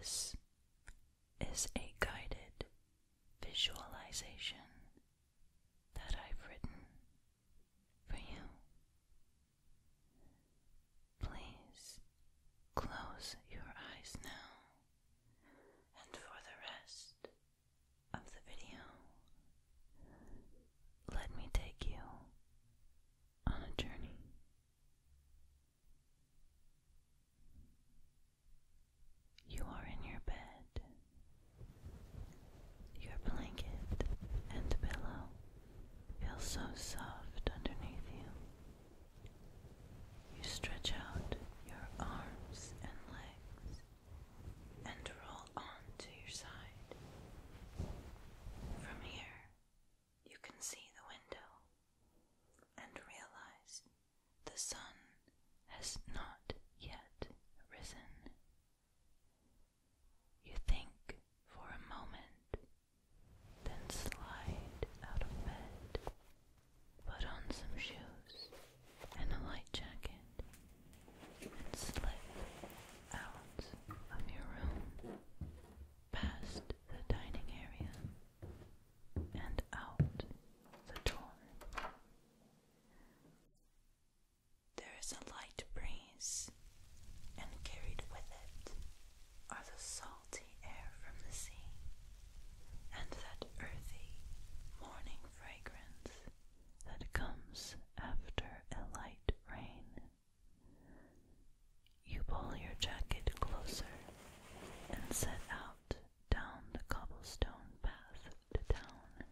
This is a guided visualization that I've written for you. Please close your eyes now, and for the rest of the video, let me take you on a journey. You are in your bed. Your blanket and pillow feel so soft underneath you. You stretch out your arms and legs and roll on to your side. From here, you can see the window and realize the sun has not yet risen. You think for a moment, then slide out of bed, put on some shoes and a light jacket, and slip out of your room past the dining area and out the door. There is a light breeze, and carried with it are the salty air from the sea and that earthy morning fragrance that comes after a light rain. You pull your jacket closer and set out down the cobblestone path to town.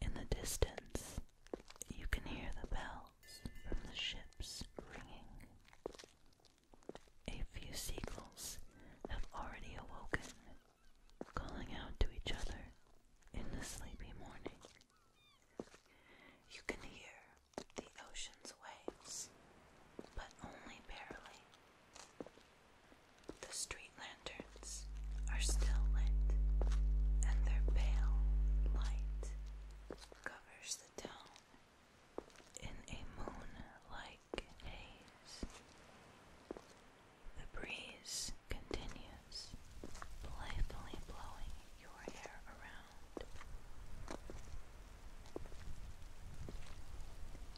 In the distance, you can hear the bells from the ships ringing. A few seagulls have already awoken, calling out to each other in the sleepy morning. You can hear the ocean's waves, but only barely. The street lanterns are still lit, and their pale light covers the town in a moon-like haze. The breeze continues playfully blowing your hair around.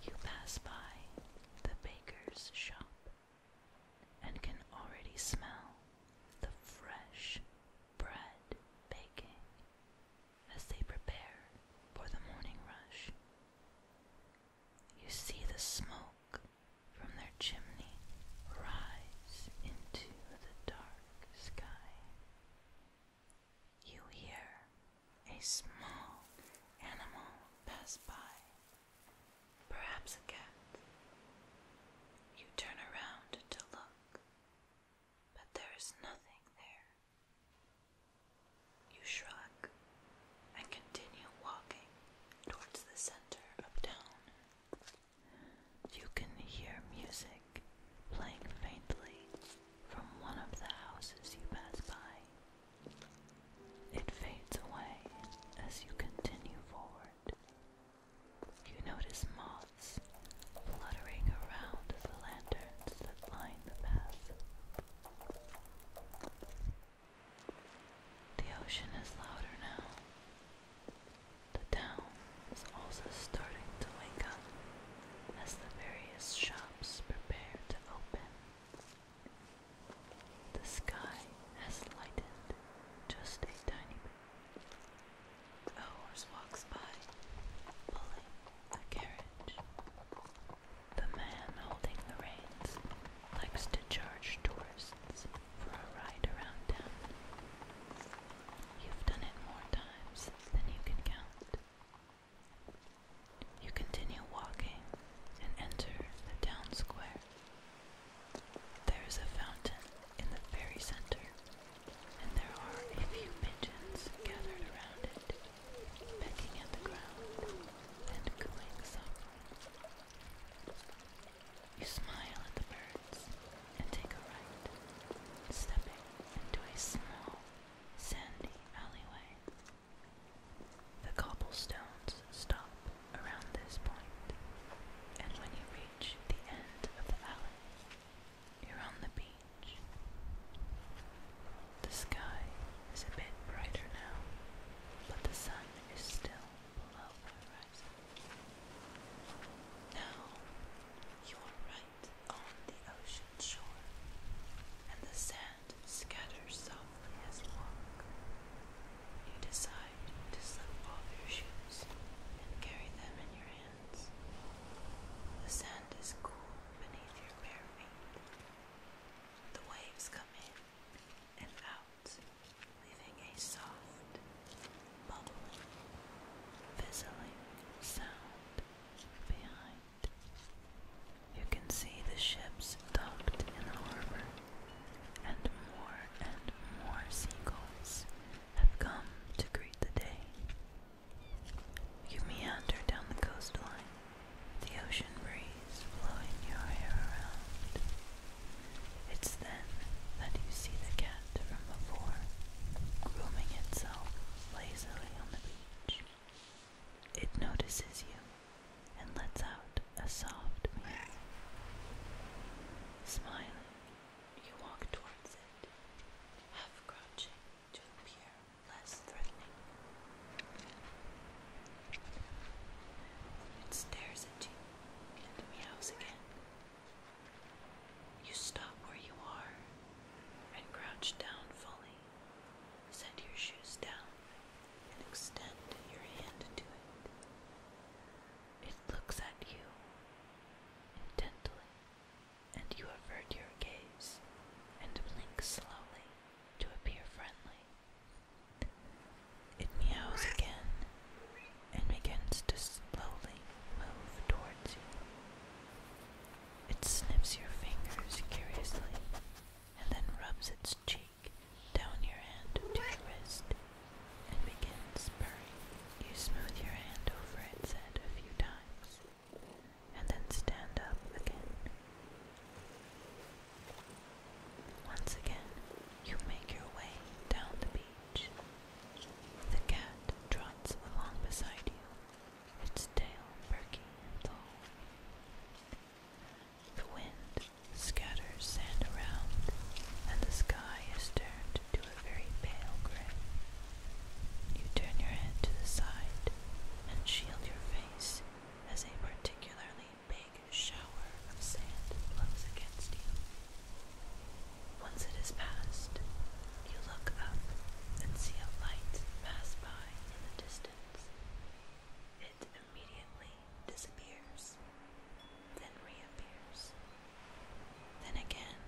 You pass by the baker's shop and can already smell the fresh bread baking as they prepare for the morning rush. You see the smoke from their chimney rise into the dark sky. You hear a small animal pass by, perhaps a cat. You turn around to look, but there is nothing there. You shrug and continue walking towards the center of town. You can hear music playing faintly from one of the houses you pass by. It fades away as you continue forward. You notice moths fluttering around the lanterns that line the path. The ocean is louder now. The town is also starting to wake up as the various shops prepare to open. The sky has lightened just a tiny bit. A horse walks by, pulling a carriage. The man holding the reins likes to charge tourists for a ride around town. You've done it more times than you can count. You continue walking and enter the town square. There is a fountain in the very center, and there are a few pigeons gathered around it, pecking at the ground and cooing softly. You smile at the birds and take a right, stepping into a small, sandy alleyway. The cobblestones stop around this point, and when you reach the end of the alley, you're on the beach. The sky is a bit brighter now, but the sun is still the Now you are right on the ocean shore, and the sand scatters softly as you walk. You decide to slip off your shoes and carry them in your hands. The sand is cool beneath your bare feet. The waves come in and out leaving a soft, bubbling, fizzling sound behind. You can see the ships docked in the harbor, and more and more seagulls have come to greet the day. You meander down the coastline, the ocean breeze blowing your hair around. It's then that you see the cat from before, grooming itself lazily on the beach. It notices you and lets out a soft meow. Smiling, you walk towards it, half crouching to appear less threatening. It stares at you and meows again. You stop where you are and crouch down fully. Set your shoes down and extend your hand to it. It looks at you intently, and you avert your gaze and blink slowly to appear friendly. It meows again and begins to slowly move towards you. It sniffs your fingers curiously and then rubs its cheek down your hand to your wrist and begins purring. You smooth your hand over its head a few times and then stand up again. Once again, you make your way down the beach. The cat trots along beside you, its tail perky and tall. The wind scatters sand around, and the sky is turned to a very pale gray. You turn your head to the side and shield your face as a particularly big shower of sand blows against you. Once it is past, you look up and see a light pass by in the distance. It immediately disappears, then reappears, then again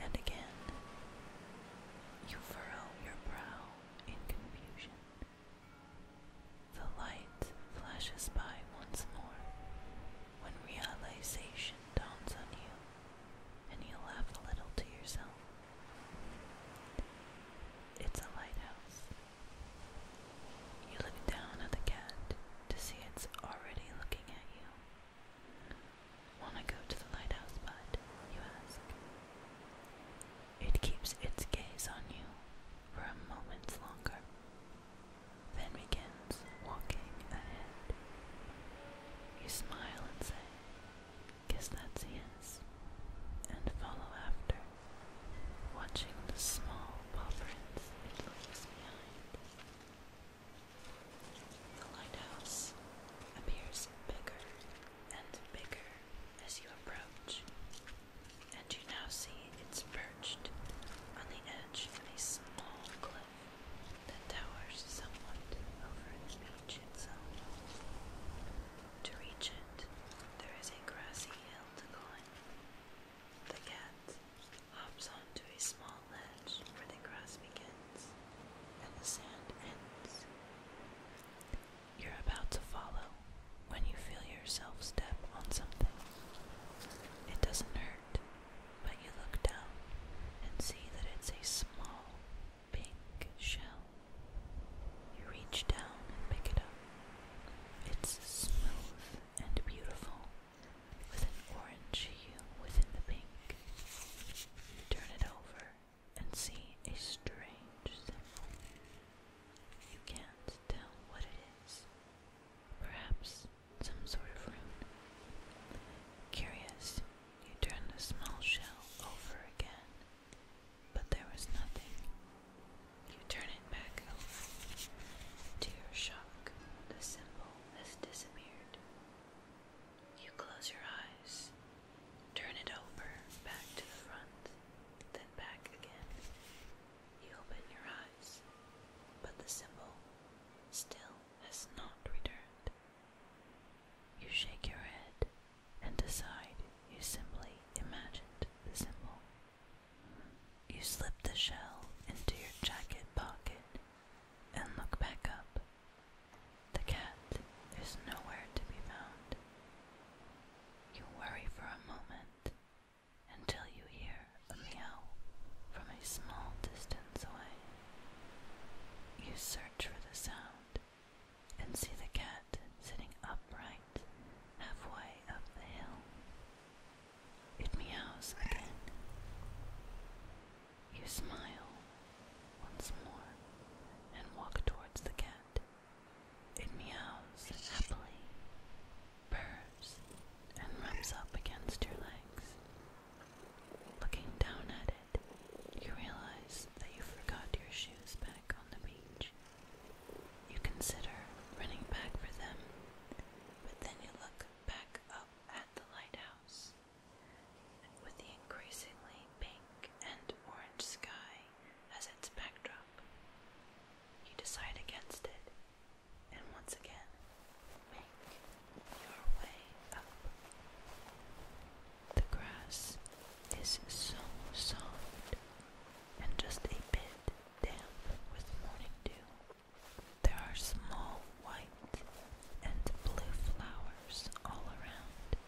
and again. You furrow your brow in confusion. The light flashes by once more when realization dawns on you and you laugh a little to yourself. It's a lighthouse. You look down at the cat to see it's already looking at you. Wanna go to the lighthouse, but You ask. It keeps its gaze on you for a moment longer, then begins walking ahead. You smile and say, Guess that's yes, and follow after, watching the small footprints it leaves behind. The lighthouse appears bigger and bigger as you approach, and you now see it's perched on the edge of a small cliff that towers somewhat over the beach itself. To reach it, there is a grassy hill to climb. The cat hops onto a small ledge where the grass begins and the sand ends. You're about to follow when you feel yourself step on something. It doesn't hurt, but you look down and see that it's a small pink shell. You reach down and pick it up. It's smooth and beautiful, with an orange hue within the pink. You turn it over and see a strange symbol. You can't tell what it is. Perhaps some sort of rune. Curious, you turn the small shell over again, but there was nothing. You turn it back over. To your shock, the symbol has disappeared. You close your eyes, turn it over back to the front, then back again. You open your eyes, but the symbol still has not returned. You shake your head and decide you simply imagined the symbol. You slip the shell into your jacket pocket and look back up. The cat is nowhere to be found. You worry for a moment until you hear a meow from a small distance away. You search for the sound and see the cat sitting upright halfway up the hill. It meows again. You smile once more and walk towards the cat. It meows happily, purrs, and rubs up against your legs. Looking down at it, you realize that you forgot your shoes back on the beach. You consider running back for them, but then you look back up at the lighthouse with the increasingly pink and orange sky as its backdrop. You decide against it, and once again, make your way up. The grass is so soft and just a bit damp with morning dew. There are small white and blue flowers all around,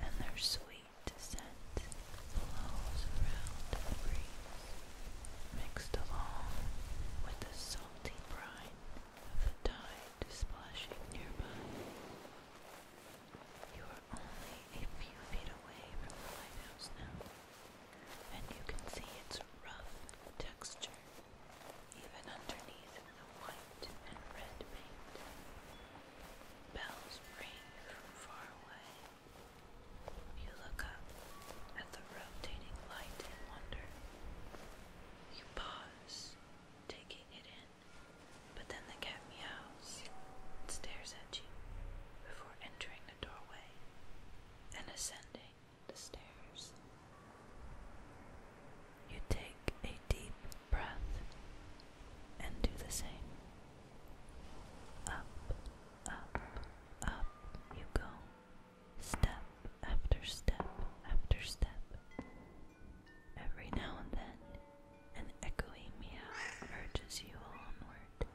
and their sweet scent blows around the breeze, mixed along with the salty brine of the tide splashing nearby. You are only a few feet away from the lighthouse now, and you can see its rough texture even underneath the white and red paint. Bells ring from far away. You look up at the rotating light in wonder. You pause, taking it in, but then the cat meows and stares at you before entering the doorway and ascending the stairs. You take a deep breath and do the same. Up, up, up you go. Step after step after step. Every now and then, an echoing meow urges you onward.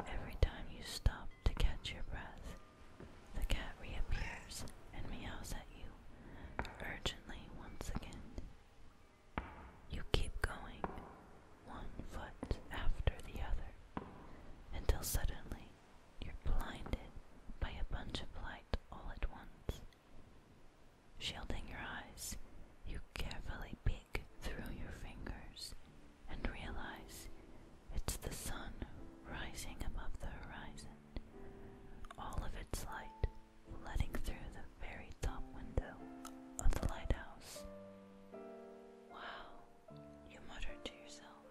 Every time you stop to catch your breath, the cat reappears and meows at you urgently once again. You keep going, one foot after the other, until suddenly you're blinded by a bunch of light all at once. Shielding your eyes, you carefully pick through your fingers and realize it's the sun rising above the horizon, all of its light flooding through the very top window of the lighthouse. Wow, you mutter to yourself.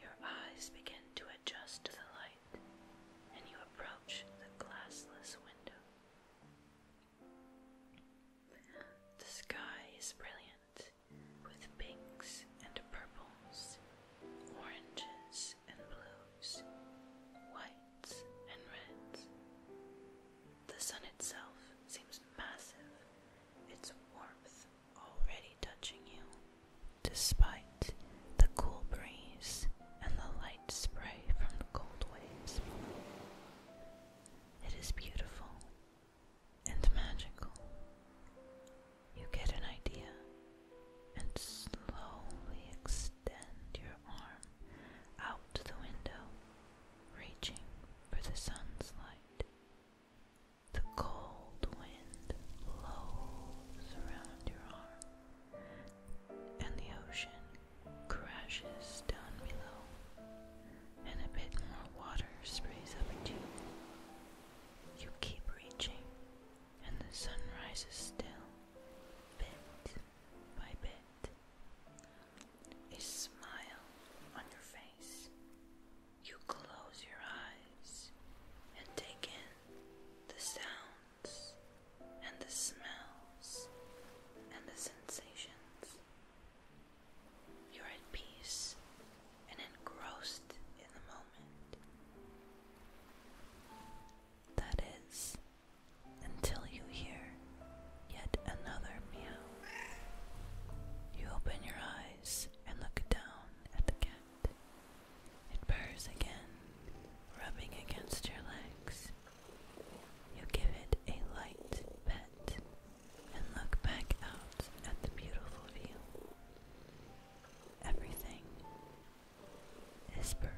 Your eyes begin to adjust to the light, and you approach the glassless window. The sky is brilliant, with pinks and purples, oranges and blues, whites and reds. The sun itself seems massive, its warmth already touching you, despite the cool breeze and the light spray from the cold waves It is beautiful and magical. You get an idea and slowly extend your arm out to the window, reaching for the sun's light. The cold wind blows around your arm, and the ocean crashes down below and a bit more water sprays up at you. You keep reaching, and the sun rises still, bit by bit. A smile on your face. You close your eyes and take in the sounds and the smells and the sensations. You're at peace and engrossed in the moment. That is, until you hear yet another meow. You open your eyes and look down at the cat. It purrs again, rubbing against your legs. You give it a light pet and look back out at the beautiful view. Everything is perfect.